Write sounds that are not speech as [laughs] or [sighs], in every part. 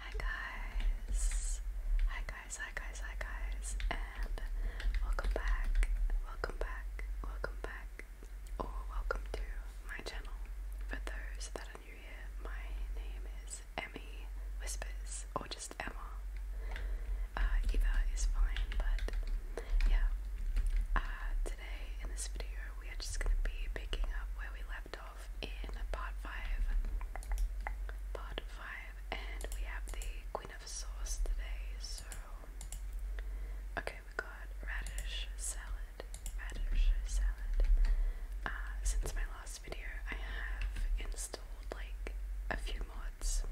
Hi guys, hi guys, hi guys, hi guys, and welcome back, welcome back, welcome back, or welcome to my channel. For those that are new here, my name is Emmy Whispers, or just Emma. Uh, either is fine, but yeah. Uh, today in this video, we are just gonna be picking up where we off in part 5. Part 5, and we have the Queen of Sauce today, so. Okay, we got radish salad. Radish salad. Uh, since my last video, I have installed like a few mods.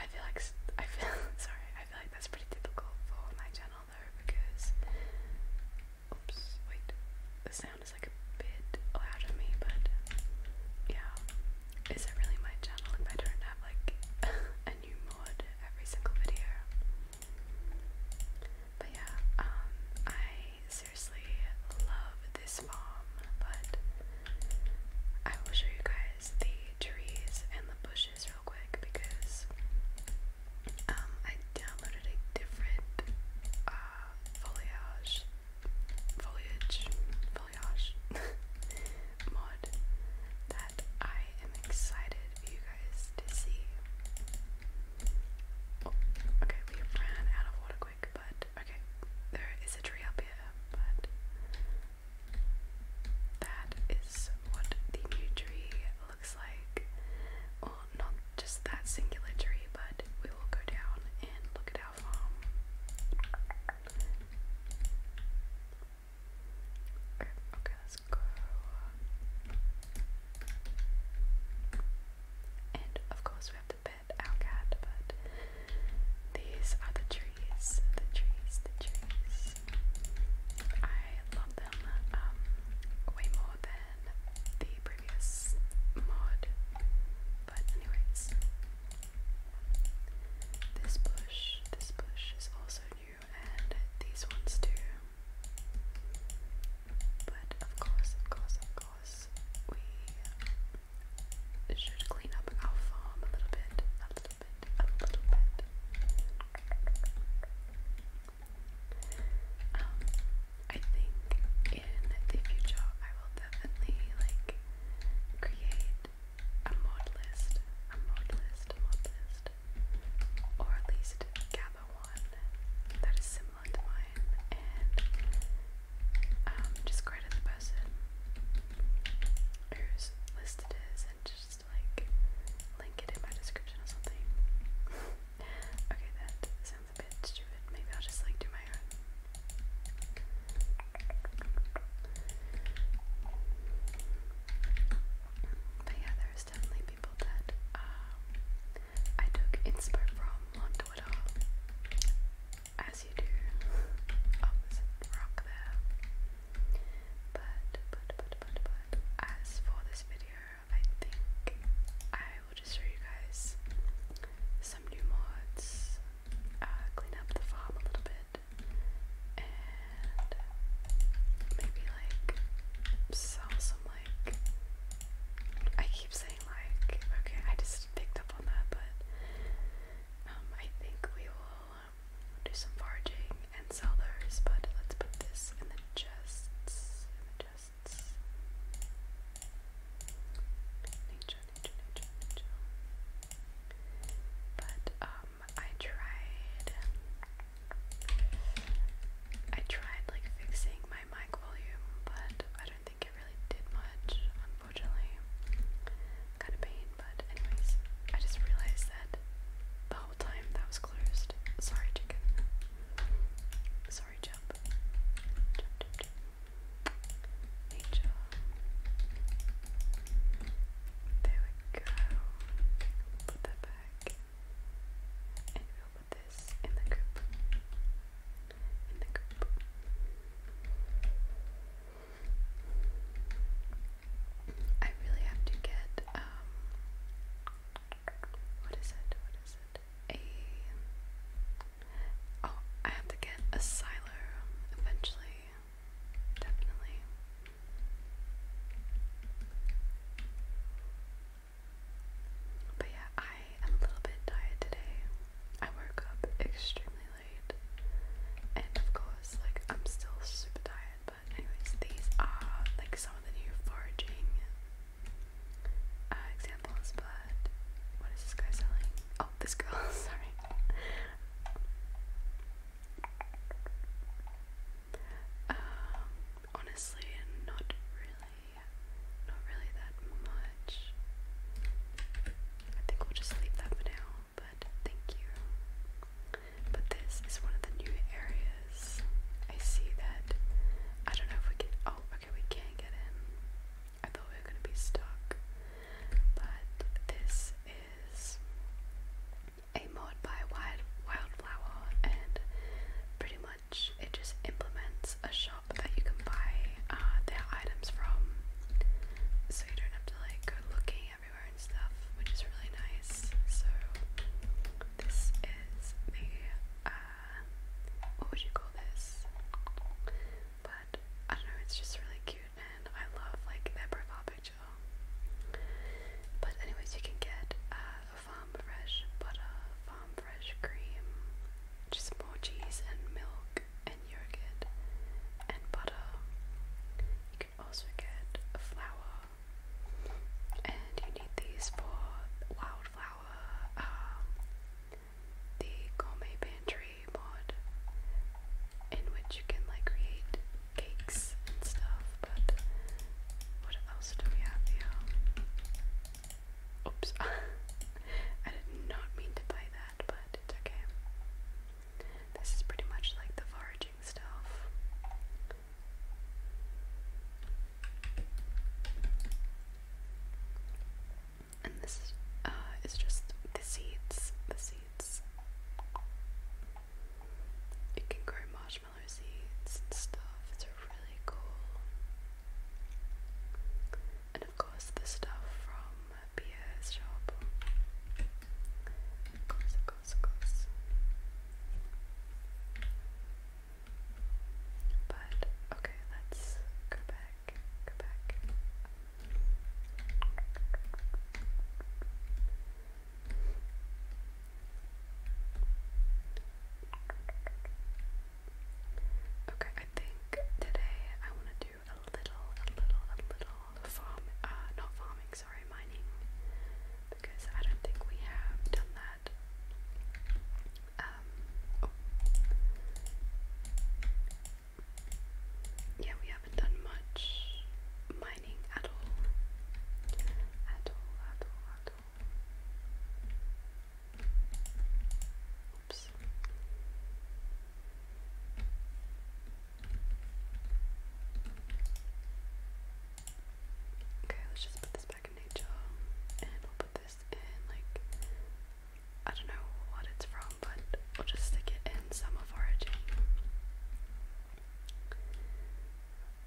I feel like I feel [laughs] sorry. I feel like that's pretty typical for my channel though, because Oops, wait. The sound is like a bit loud on me, but yeah. Is it really my channel if I don't like [laughs] a new mod every single video? But yeah, um, I seriously love this farm, but I will show you guys the trees and the bushes real quick because um, I downloaded a different uh, foliage, foliage, foliage [laughs] mod that I am excited for you guys to see. Oh, okay, we ran out of water quick, but okay, there is a tree up here, but that is what the new tree looks like. Well, not just that singular tree, but we will go down and look at our farm. Okay, okay let's go. And of course, we have to pet our cat, but these are the trees, the trees, the trees. I love them um, way more than the previous mod. But anyways, this bush, this bush is also new, and these ones too. But of course, of course, of course, we should clean up our farm a little bit, a little bit, a little bit. Um, I think in the future I will definitely like create a mod list, a mod list, mod list, or at least gather one that is similar to mine and um, just the person whose list it is and just like link it in my description or something. [laughs] okay, that sounds Maybe I'll just like do my own. But yeah, there's definitely people that um, I took inspiration from on Twitter. As you do. Oh, rock there. But, but, but, but, but, as for this video, I think I will just show you guys some new mods, uh, clean up the farm a little bit, and maybe like sell some like. I keep saying like, okay, I just picked up on that, but um, I think we will um, do some foraging and sell those. But let's put this in the chests. In the chests. Nature, nature, nature, nature. But um I tried I tried like fixing my mic volume, but I don't think it really did much, unfortunately. Kind of pain, but anyways, I just realized that the whole time that was closed. Sorry, chicken sorry, jump. There we go. Put that back. And we'll put this in the group. In the group. I really have to get, um, what is it? What is it? oh, I have to get a silo eventually, definitely. But yeah, I am a little bit tired today. I woke up extremely late, and of course, like I'm still super tired. But anyways, these are like some of the new foraging uh, examples, but what is this guy selling? Oh, this girl, [laughs] sorry. Um, honestly, not really, not really that much. I think we'll just leave that for now, but thank you. But this is one of the new areas. I see that. I don't know if we can. Oh, Okay, we can't get in. I thought we were gonna be stuck. But this is a mod by Wild Wildflower and pretty much it just implements a shop that you can buy uh, their items from so you don't have to like go looking everywhere and stuff which is really nice so this is the uh, what would you call this? But I don't know, it's just really cute and I love like their profile picture. But anyways, you can get uh, farm fresh butter, farm fresh cream, just more cheese and milk and yogurt and butter. You can also get flour, and you need these for wildflower um, the gourmet pantry mod in which you can like create cakes and stuff, but what else do we have Oops. [laughs] I did not mean to buy that, but it's okay. This is pretty much like the foraging stuff. And this uh, is just the seeds. The seeds. You can grow marshmallow seeds and stuff. It's really cool. And of course the stuff from Pierre's shop. Of course, of course, of course. But okay, let's go back, go back. Okay, I think today I want to do a little, a little, a little farm, uh, not farming, sorry, mining, because I don't think we have done that um, yeah we haven't done much mining at all at all at all at all oops Okay, let's just put this back in nature, and we'll put this in like I don't know what it's from, but we'll just stick it in summer foraging.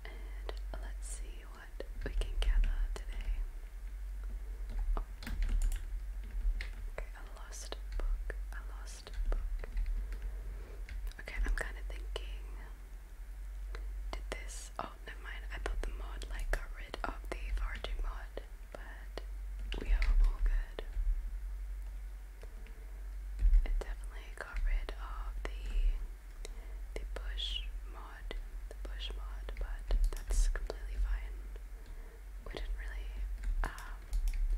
And let's see what we can gather today. Okay, a lost book. A lost book. Okay, I'm kind of thinking. Did this? Oh, Oh, never mind. I thought the mod like got rid of the foraging mod, but we are all good. It definitely got rid of the the bush mod, bush mod, but that's completely fine. We didn't really. Um,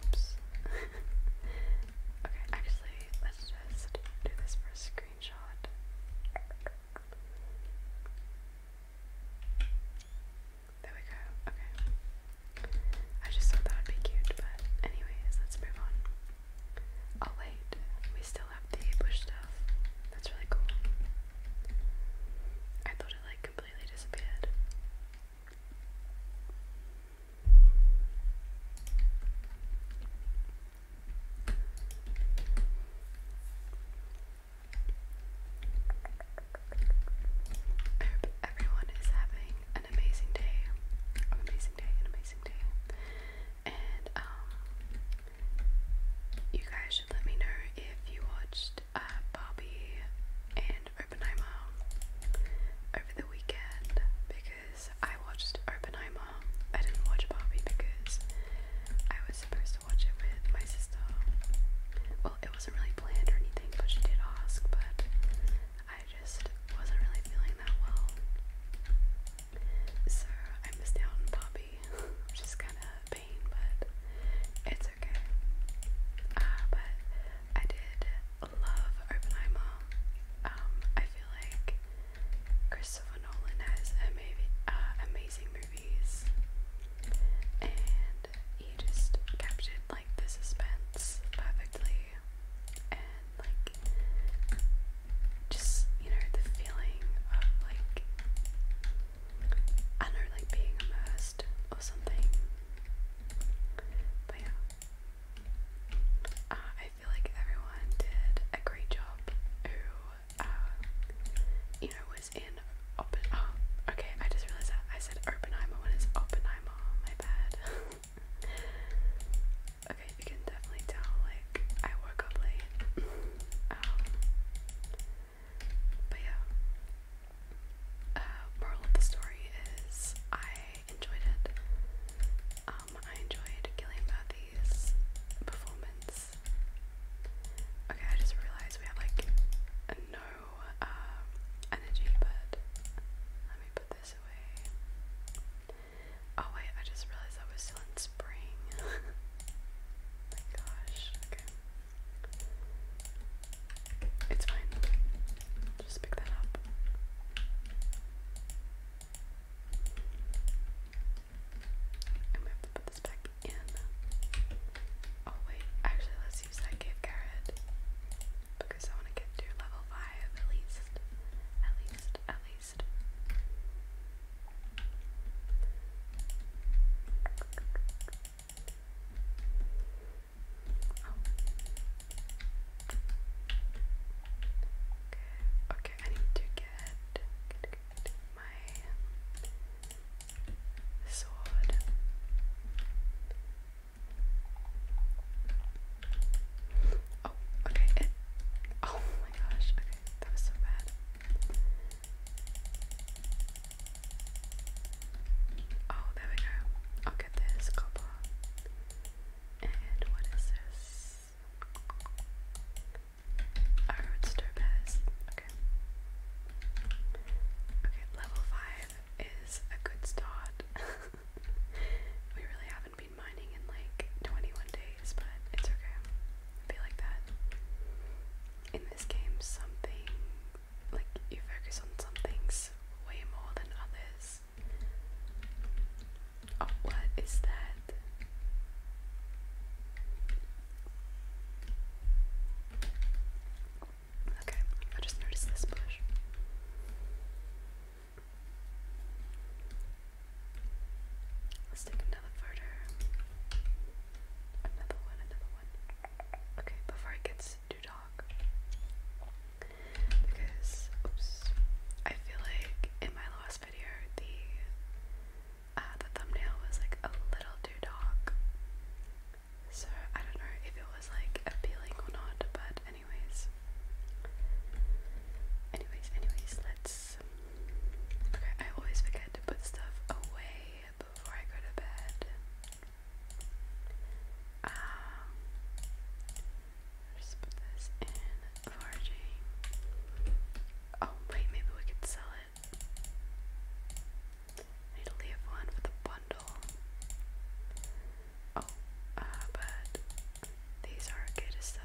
oops. [laughs] okay, actually, let's just do this for a screenshot. There we go. Okay. I just thought that would be cute, but anyways, let's move on. Oh wait, we still have the bush stuff. That's really cool. I thought it like completely disappeared. I hope everyone is having an amazing day, an amazing day, an amazing day. And um, you guys should let me know if you watched uh, Bobby and Oppenheimer over the weekend because I watched Oppenheimer. I didn't watch Barbie because I was supposed to watch it with my sister. Well, it wasn't really planned or anything, but she did ask, but I just wasn't really feeling that well. So I missed out on Poppy, which kind of a pain, but it's okay. Uh, but I did love Oppenheimer. Um, I feel like Christopher Nolan has ama uh, amazing movies, and he just captured like the suspense perfectly, and like just you know the feeling of like I don't know like being immersed or something. But yeah. Uh, I feel like everyone did a great job uh, you know, in Oppen. Oh, okay. I just realized that I said Oppenheimer when it's Oppenheimer. My bad. [laughs] okay, you can definitely tell. Like I woke up late. Um, but yeah. Uh, moral of the story is I enjoyed it. Um, I enjoyed Gillian Murphy's performance Okay, I just realized we have like no uh, energy, but let me put this away. Oh wait, I just realized I was still in spring. [laughs] my gosh, okay. It's fine. Just pick that up. And we have to put this back in. Oh wait, actually let's use that cave carrot because I want to get to level five at least, at least, at least. Oh. Okay, okay, I need to get. Good, good my sword. Oh, okay. oh my gosh. Okay, that was so bad. Oh, there we go. I'll get this copper. And what is this? Oh, it's Topaz. Okay. Okay, level 5 is a good start. [laughs] we really haven't been mining in like 21 days, but it's okay. I feel like that. In this game, something, like, you focus on some things way more than others. Oh, what is that? Okay, I just noticed this bush. Let's take another further. Another one, another one. Okay, before it gets too dark. Because, oops, I feel like in my last video the uh, the thumbnail was like a little too dark. So I don't know if it was like appealing or not, but anyways. Anyways, anyways, let's. Okay, I always forget to put stuff away before I go to bed. Um, just put this in foraging. Oh wait, maybe we could sell need to leave one with a bundle. Oh, uh, but these are okay to sell.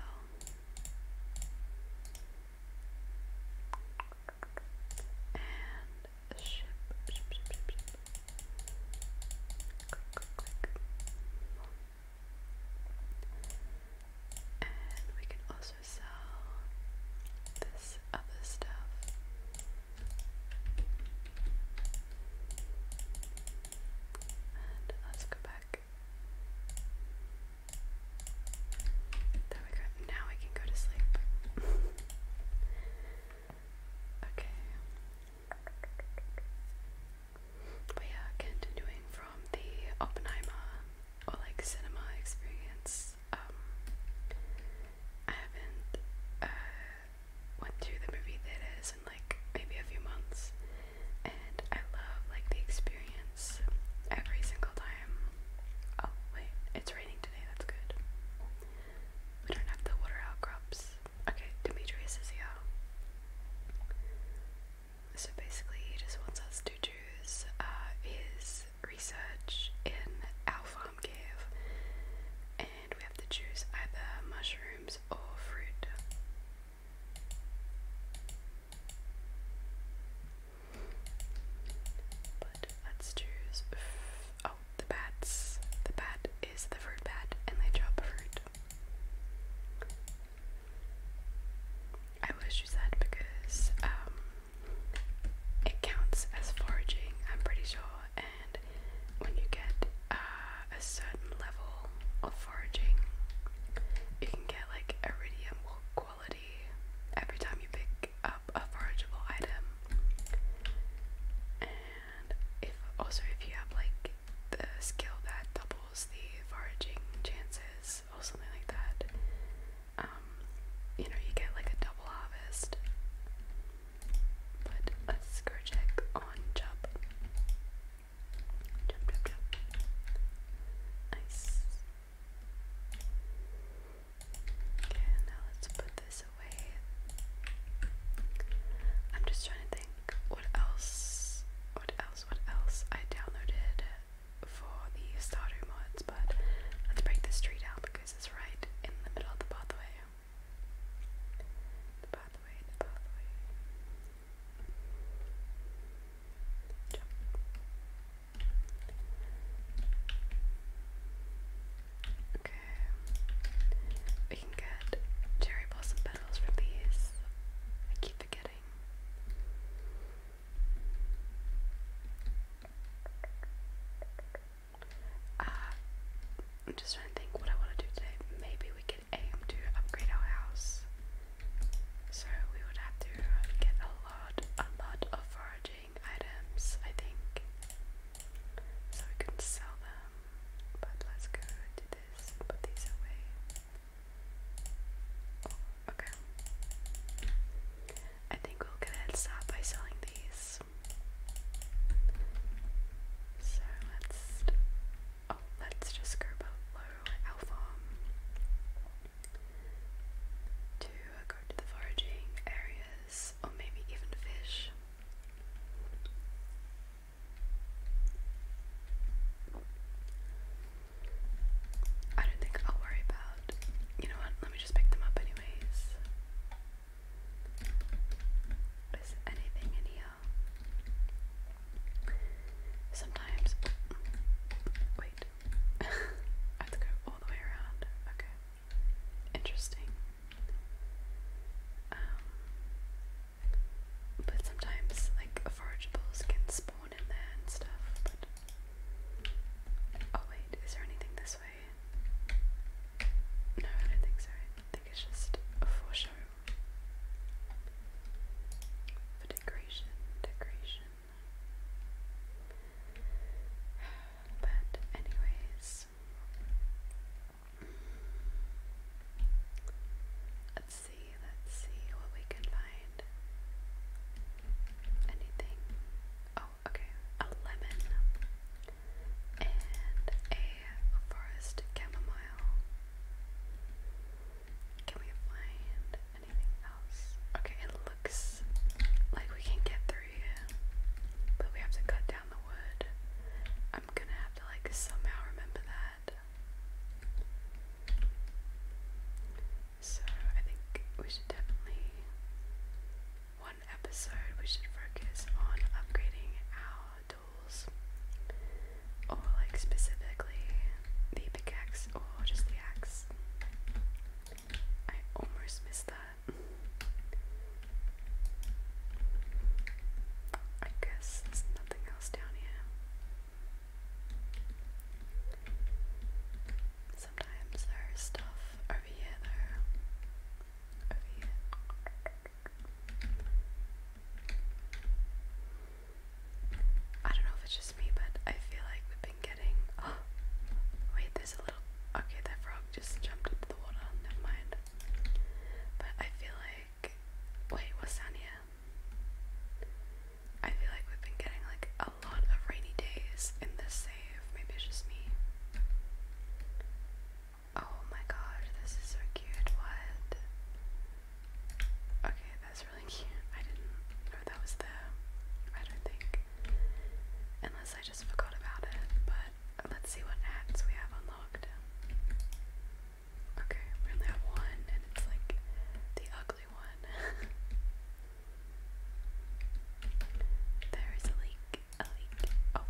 And we can also also this other stuff. And let's go back. There we go. Now I can go to sleep. [laughs] okay. We are continuing from the Oppenheimer or like cinema experience um, I haven't uh, went to the movie theaters in like maybe a few months, and I love like the experience every single time. Oh wait, it's raining today. That's good. We don't have the water outcrops. Okay, Demetrius is here. So basically, he just wants us to choose uh, his research in our farm cave, and we have to choose either mushrooms or fruit. But let's choose. Oh, the bats. The bat is the fruit bat, and they drop fruit. I always choose that because um, it counts as foraging, I'm pretty sure, and when you get uh, a certain level of foraging, you can get like a radiant quality every time you pick up a forageable item. And if also if you have like the skill that doubles the foraging chances, days or something like that. Um, you know, you get like a double harvest. But let's go check on Jump. Jump, jump, jump. Nice. Okay, now let's put this away. I'm just trying to think what else, what else, what else I downloaded for the starter mods, but let's break this tree down because it's right in the middle of the pathway. The pathway, pathway. Okay. We can get cherry blossom petals from these. I keep forgetting. Uh, I'm just trying to think what I want to do today. Maybe we could aim to upgrade our house. So we would have to get a lot, a lot of foraging items, I think. So we can sell them. But let's go do this. Put these away. Okay. I think we'll get ahead and stop by selling these. So let's oh let's just go below alpha to go to the foraging areas or maybe even fish. I don't think I'll worry about. You know what? Let me just pick them up, anyways. Is anything in here? Sometimes. Wait. [laughs] I have to go all the way around. Okay. Interesting. Um. But sometimes, like, forageables can spawn oh wait, is there anything this way? No, I don't think so. I think it's just for show. For decoration, decoration. [sighs] But anyways, let's see, let's see what we can find. Anything? Oh, okay, a lemon and a forest chamomile. Can we find anything else? Okay, it looks like we can get through but we have to cut down the wood. I'm gonna have to like somehow remember that. So I think we should definitely one episode we should focus on upgrading our tools or like specifically the pickaxe or just the axe. I almost missed that. I guess there's nothing else down here sometimes there's stuff over here, though. Over here. I don't know if it's just me, but I feel like we've been getting. [gasps] wait, there's a little. Okay, that frog just jumped into the water. Never mind. But I feel like. Wait, what's down I feel like we've been getting like a lot of rainy days in this save. Maybe it's just me. Oh my god, this is so cute. What? Okay, that's really [laughs] cute. I didn't know that was there. I don't think. Unless I just forgot about it. But let's see what hats we have unlocked. Okay, we only have one, and it's like the ugly one. [laughs] There is a leak, a leak. Oh.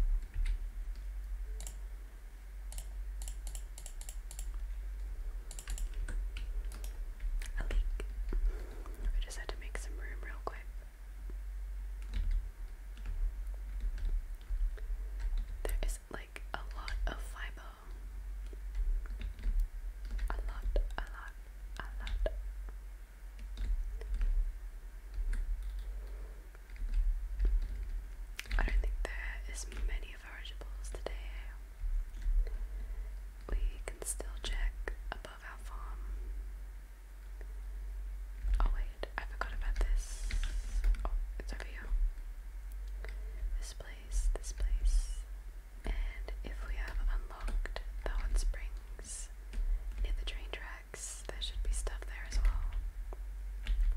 A leak. We just had to make some room real quick. There is like a lot of fiber. A lot, a lot, a lot. I don't think there is many forageables today. We can still check above our farm. Oh wait, I forgot about this. Oh, it's over here. This place, this place. And if we have unlocked the hot springs near the train tracks, there should be stuff there as well.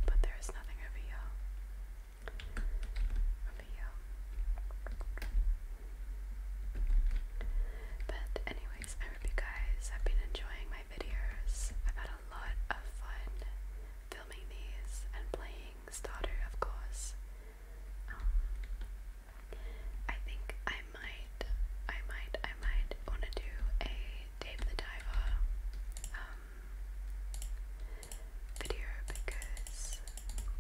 But there is nothing over here. But anyways, I hope you guys have been enjoying my videos. I've had a lot of fun filming these and playing Stardew, of course. Um, I think I might, I might, I might want to do a Dave the Diver um, video because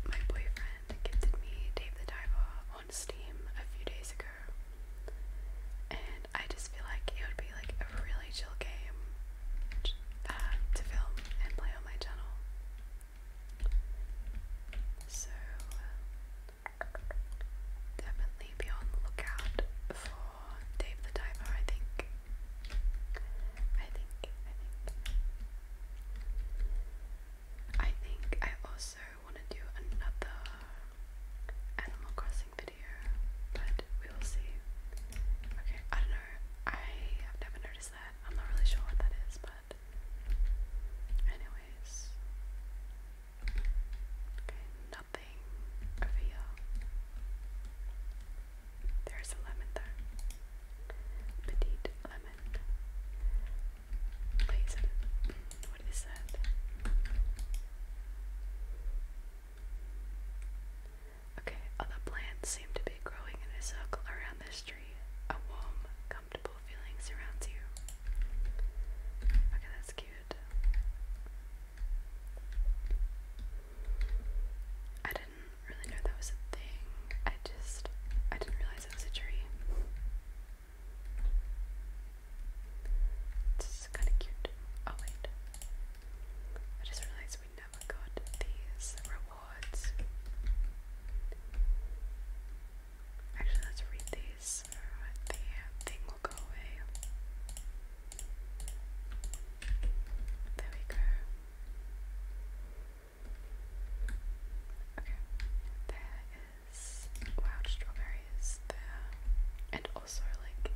my boyfriend gifted me Dave the Diver on Steam a few days ago, and I just feel like it would be like a really chill game uh, to film and play on my channel. So uh, definitely be on the lookout for Dave the Diver, I think. I think, I think. I think I also want to do another Animal Crossing video, but we will see. Okay, I don't know. I have never noticed that. I'm not really sure what that is, but anyways. Okay, nothing over There's a lemon there. Petite lemon. Wait, what is that? Okay, all plants seem to be growing in a circle around this tree. A warm, uncomfortable feeling surrounds you. Okay, that's cute. I didn't really know that was a thing. I just, I didn't realize it was a tree. This kind of cute. Oh, wait. I just realized we never got these rewards. Actually, let's read these uh, the uh, thing will go away. There we go. Okay, there is wild strawberries there, and also like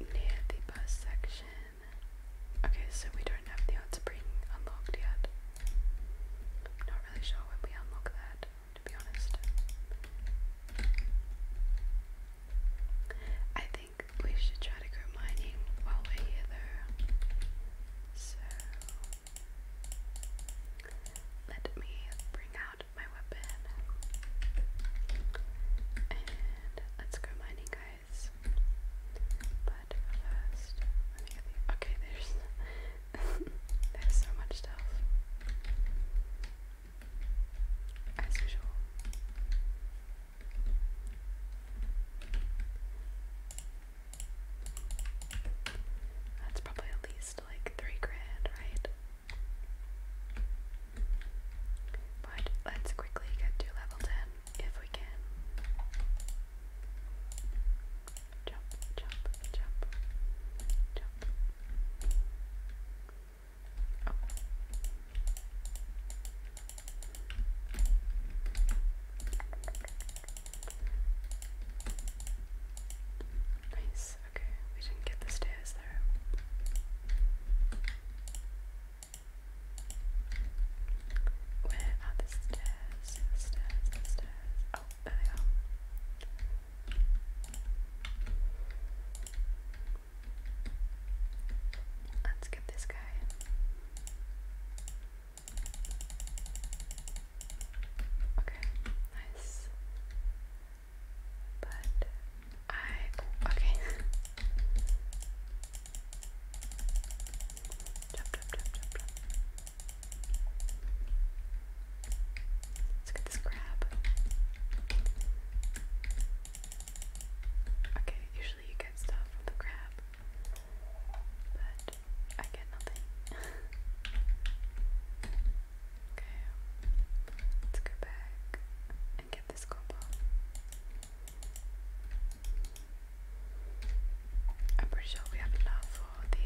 near the bus section. Okay, so we don't have the art spring unlocked yet not really sure when we unlock that, to be honest. I think we should try to go mining while we're here though. So let me bring out my weapon. And let's go mining guys. But first, okay there's there's so much stuff. As usual. That's probably at least like three grand, right? But let's quickly get to level 10 if we can jump, jump, jump, jump. Oh. Nice, okay, we didn't get the stairs there. Where are the stairs? stairs, stairs. Oh, there they Let's get this guy. Okay, nice. But I okay. [laughs] Let's get this crab. Okay, usually you get stuff from the crab, but I get nothing. [laughs] okay, let's go back and get this combo. I'm pretty sure we have enough for the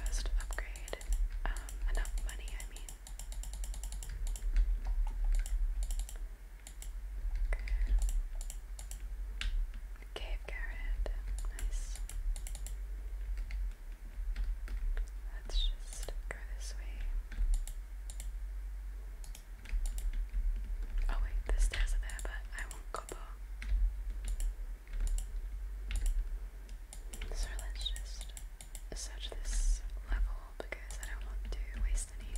first upgrade. Um, enough money, I mean. Okay. Cave Garret. Nice. Let's just go this way. Oh wait, the stairs are there, but I want copper. So let's just search this level because I don't want to waste any.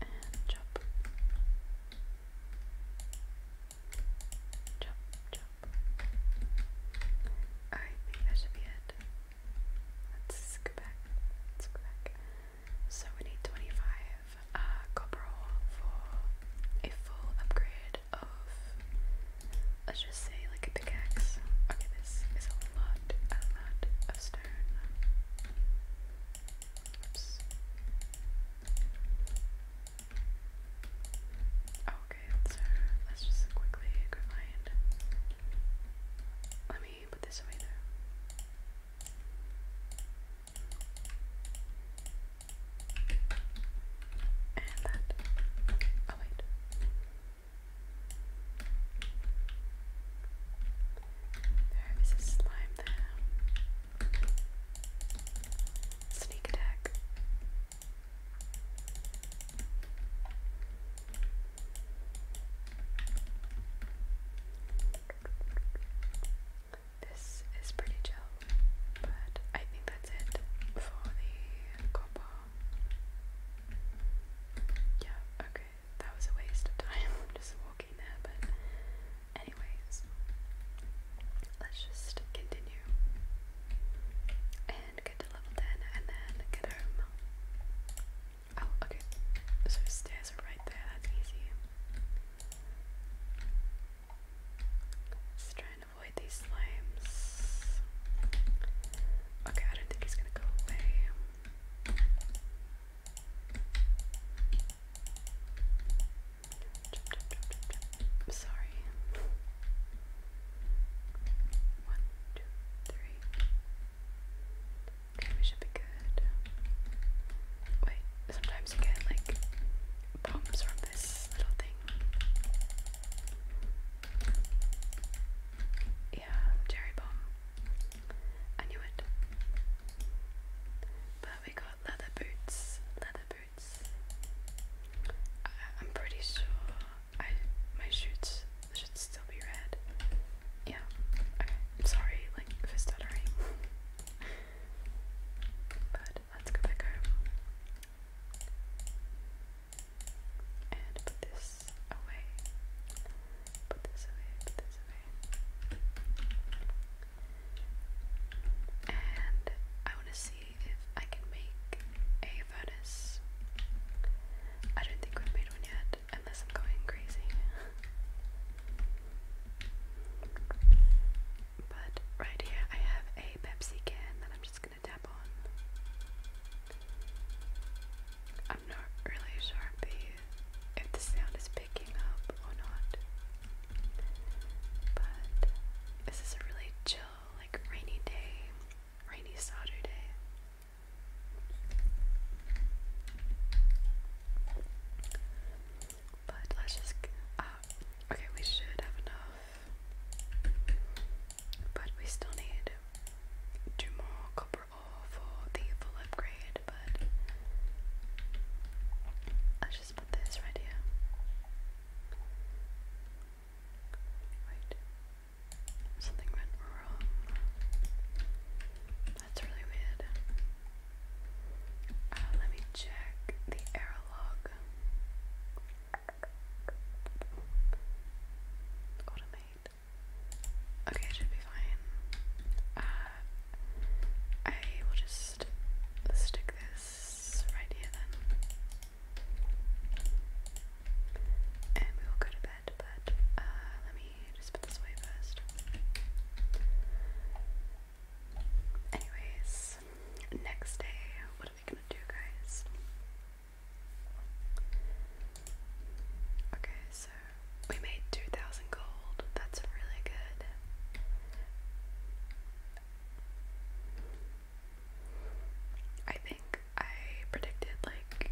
And chop. Chop, chop. that should be it. Let's go back. Let's go back. So we need 25 uh, for a full upgrade of, let's just say like a pickaxe. Okay, this is a lot, a lot of stone. Okay, so let's just quickly go Let me and that. Oh, wait. There is a slime there. Sneak attack. This is pretty chill, but I think that's it for the copper. Yeah, okay, that was a waste of time [laughs] just walking there, but anyways, let's just continue and get to level 10 and then get home. Oh, okay. So stairs are right there, that's easy. let try and avoid these slimes. Okay, I don't think he's gonna go away. I'm sorry. One, two, three. Okay, we should be good. Wait, sometimes you get like bumps from this little thing. Yeah, cherry bomb. I knew it. But we got leather boots. Leather boots. I, am pretty sure I my shoots should still be red. Yeah. Okay. i sorry, like if stuttering. but let's go back home. And put this away. Put this away, put this away. And I want to see if I can make a furnace. I don't think we've made one yet unless I'm going crazy. but right here I have a Pepsi can that I'm just gonna tap on. I'm not really sure if the, if the sound is picking up or not. But this is a really chill, like rainy day, rainy Saturday. But let's just. Uh, okay, we should have enough. But we still need two more copper ore for the full upgrade. But let just put this right here. Wait. Something went wrong. That's really weird. Uh, let me check the error log. Automate. Okay, should be fine. Uh, I will just stick this right here then. And we will go to but uh, let me just put this away first. Anyways, next day, what are we gonna do, guys? Okay, so we made 2,000 gold. That's really good. I think I predicted like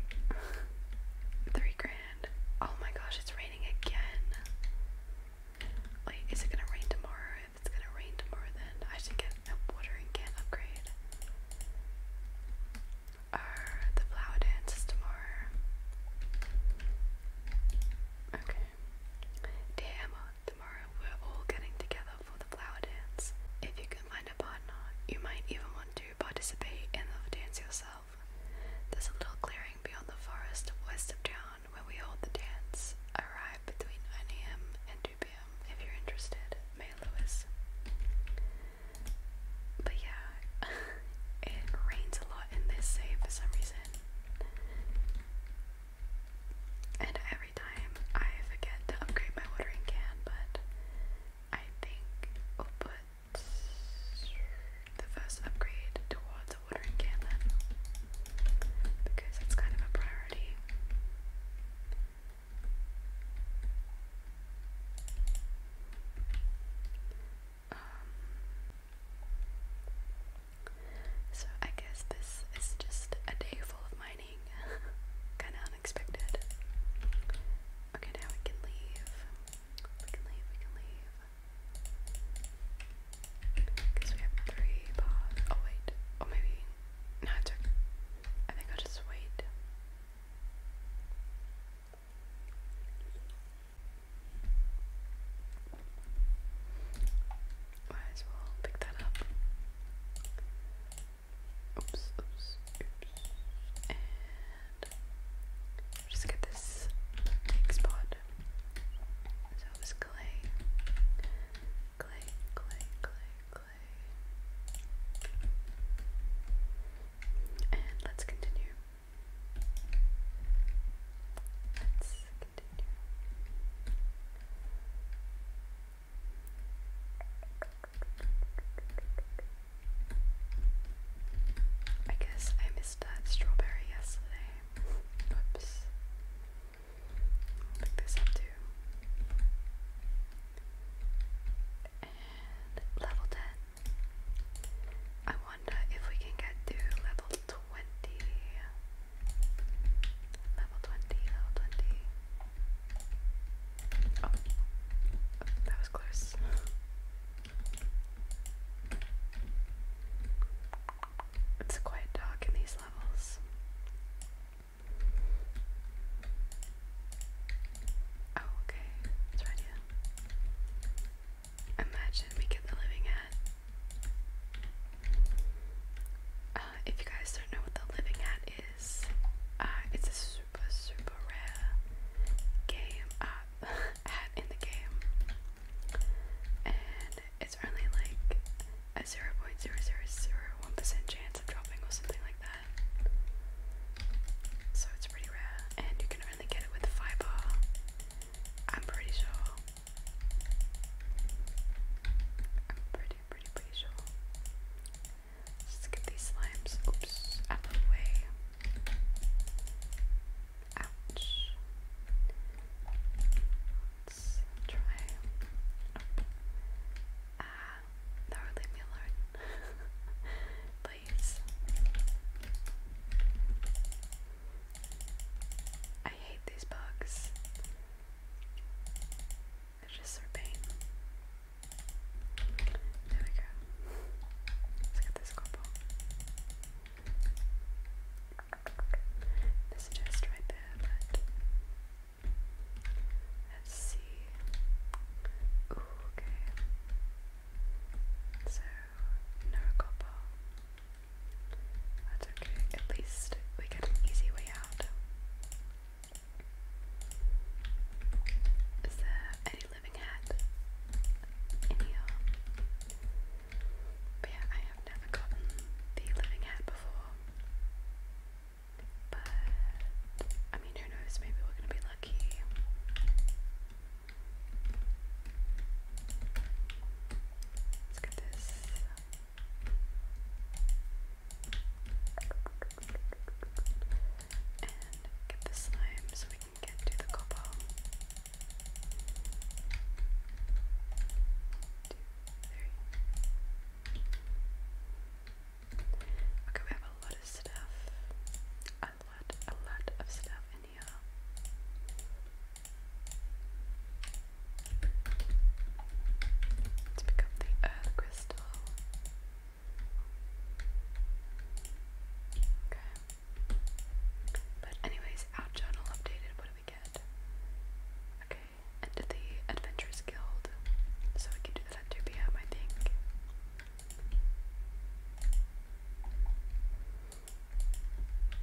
[laughs] three grand oh my gosh, it's raining again. Like, is it gonna rain tomorrow? If it's gonna rain tomorrow, then I should get a watering can upgrade. Or the flower dance is tomorrow. Okay. Damn, tomorrow we're all getting together for the flower dance. If you can find a partner, you might even want to participate in the dance yourself. There's a little clearing beyond the forest west of town where we hold the dance. Arrive between 9am and 2pm if you're interested. May Lewis. But yeah, [laughs] it rains a lot in this save for some reason. And every time I forget to upgrade my watering can, but I think we'll the first upgrade towards a watering cannon because it's kind of a priority. Um, so I guess this is just a day full of mining. [laughs] kind of unexpected. Okay, now we can leave. We can leave, we can leave. Because we have three bars. Oh, wait. Oh, maybe. No, it's okay. I think I'll just wait. Might as well pick that up. Oops, oops, oops. And just get this big spot. So this clay, clay, clay, clay, clay. And let's continue. Let's continue. I guess I missed that strawberry yesterday. Oops. i this up too. And level 10. I wonder if we can get to level 20. Level 20, level 20. Oh, oh that was close. [laughs] It's quite dark in these levels. Oh, okay. It's right Imagine we get the living hat. Uh, if you guys don't know what the living hat is, uh, it's a super, super rare game. Uh, [laughs] hat in the game, and it's only like a 0.0001% chance of dropping or something like that. So it's pretty rare, and you can only get it with fiber. I'm pretty sure. I'm pretty, pretty, pretty sure. Just get these slimes, oops, out of the way. Ouch. try. Ah, uh, [laughs] no, Please. I hate these bugs. They're just so pain. There we go. Let's get this couple. This chest right there, let's see. okay. So no couple. That's okay. At least we get an easy way out. Is there any living at in here. But yeah, I have never gotten the living hat before. But I mean, who knows? Maybe we're gonna be lucky. Let's get this. And get the slime so we Get to Okay, we have a lot of stuff. A lot, a lot of stuff in here. Let's pick up the earth crystal. Okay. But anyways, out journal updated, what do we get? Okay, and the Adventurers Guild. So we can do that at 2 p.m. I think.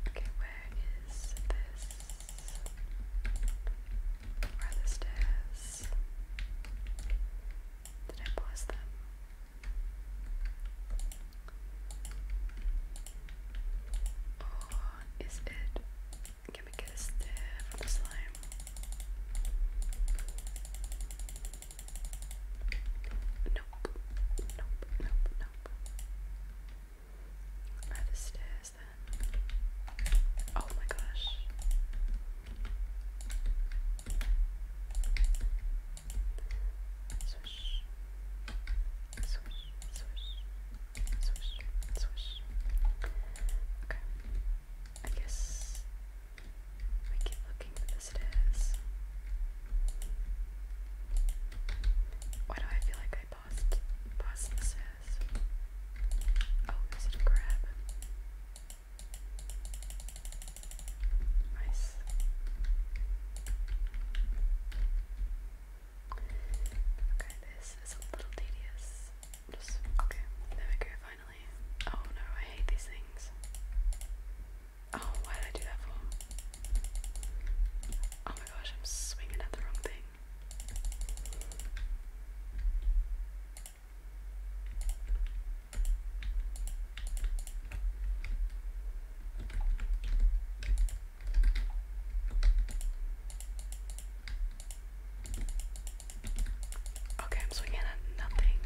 Okay, where is this? Where the stairs? Did I pause them? Or oh, is it? Can we get a stare from the slime? Nope, nope, nope, nope. Are stairs then? Oh my gosh swish, swish, swish, swish, Okay. I guess we keep looking for the stairs. Why do I feel like I passed past the stairs? Oh, is it a grab? Nice. Okay, this is a little tedious. Just okay. There we go. Finally. Oh no, I hate these things. Oh, why did I do that for? Oh my gosh, I'm swinging at the wrong thing. Okay, I'm swinging at nothing.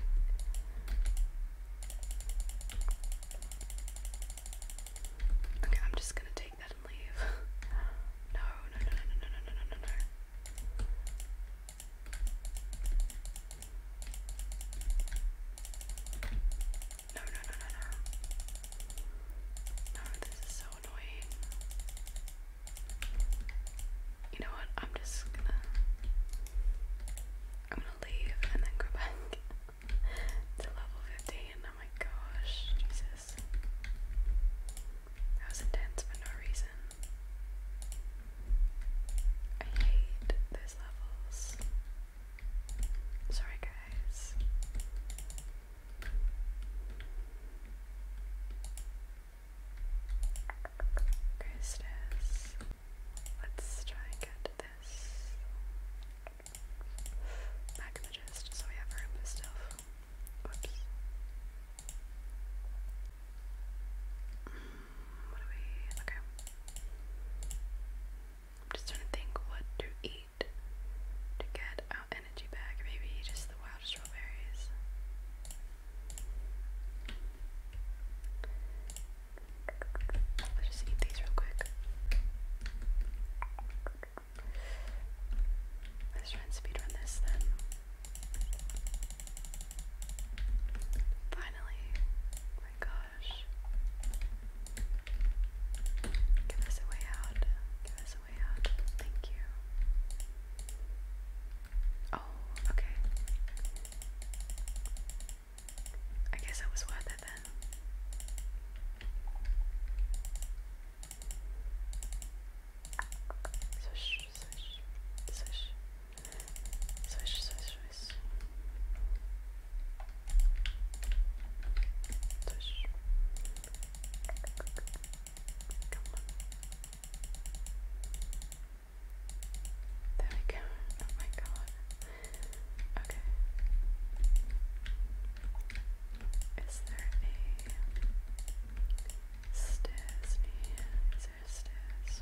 Okay, I'm just gonna take that and leave. [laughs] no, no, no, no, no, no, no, no, no, no. No, no, no, no, no. No, this is so annoying. You know what? I'm just gonna. I'm gonna leave and then go back [laughs] to level 15. Oh my gosh, Jesus. That was intense for no reason. I hate those levels. Sorry, guys. Grossness. Let's try and get this back so we have room for stuff. Whoops. Mm, what do we. Okay. I'm just trying to think what to eat to get our energy back. Maybe just the wild strawberries. Let's just eat these real quick. Let's try and speedrun this then. Finally. my god. Give us a way out. Give us a way out. Thank you. Oh, okay. I guess it was worth it then. Swish, swish, swish, swish, swish, this. This. There we go. Oh my god. Okay. Is there a stairs Is there stairs?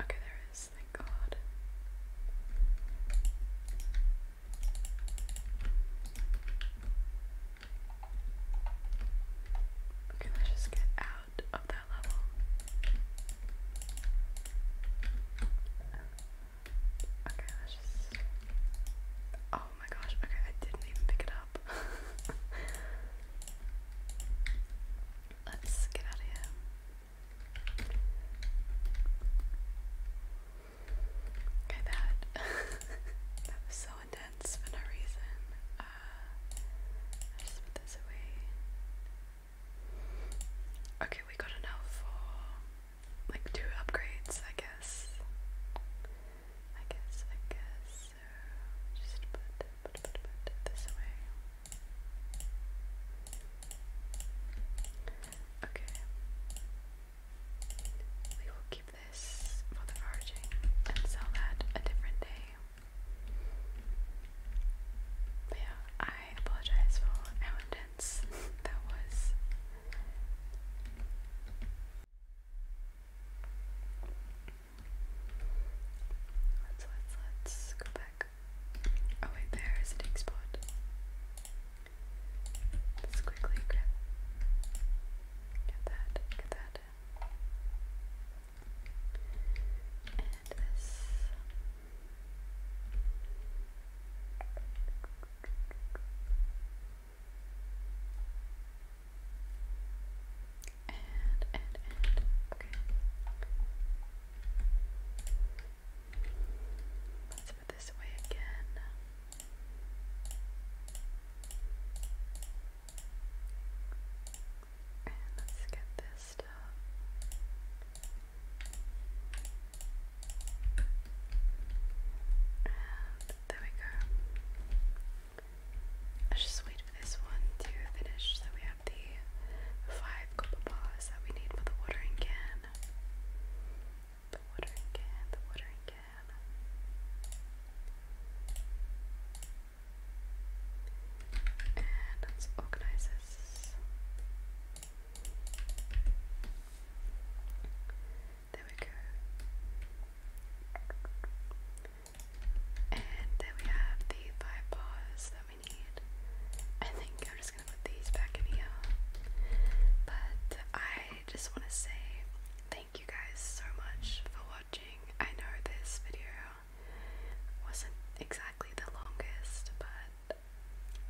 Okay, there thank God. Okay, let's just get out of that level. Okay, let's just. Oh my gosh, okay, I didn't even pick it up. [laughs] let's get out of here. Okay, that [laughs] that was so intense for no reason. Uh, I just put this away. Okay, we got enough for like two upgrades, I guess. I guess, I guess. just put, put, put, put this away. Okay. We will keep this for the foraging and sell that a different day yeah, I apologize for how [laughs] that was. Let's let's let's go back. Oh wait, there is a big spot. Let's quickly grab get that, get that and this. Let's put this away again. And let's get this stuff. there we go. Let's just wait for this one to finish so we have the five copper bars that we need for the watering can. The watering can, the watering can. And let's organize this. There we go. And there we have the five bars that we need. I think I'm just gonna put these back in here. But I just wanna say thank you guys so much for watching. I know this video wasn't exactly the longest, but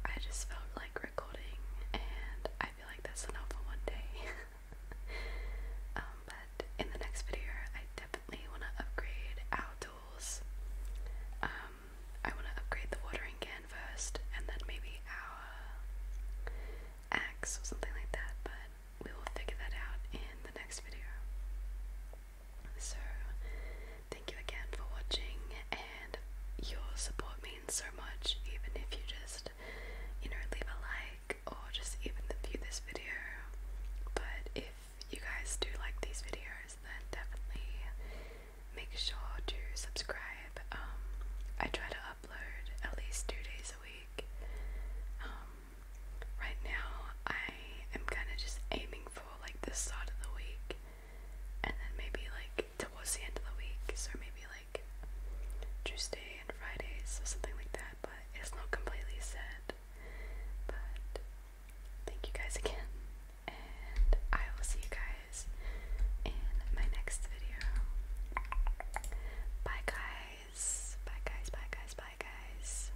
I just felt like recording, and I feel like that's enough for one day. [laughs] Um, but in the next video, I definitely want to upgrade our tools. Um, I want to upgrade the watering can first, and then maybe our axe or something like that. But we will figure that out in the next video. So, thank you again for watching, and your support means so much, even if you just, you know, leave a like or just even view this video. But if you guys do like these videos, then definitely make sure to subscribe. Um, I try to upload at least two days a week. Um, right now I am kind of just aiming for like this start of the week and then maybe like towards the end of the week, so maybe like Tuesday and Fridays or something like that, but it's not completely set. But thank you guys again, and I will see you guys in my next video. Bye, guys. Bye, guys. Bye, guys. Bye, guys.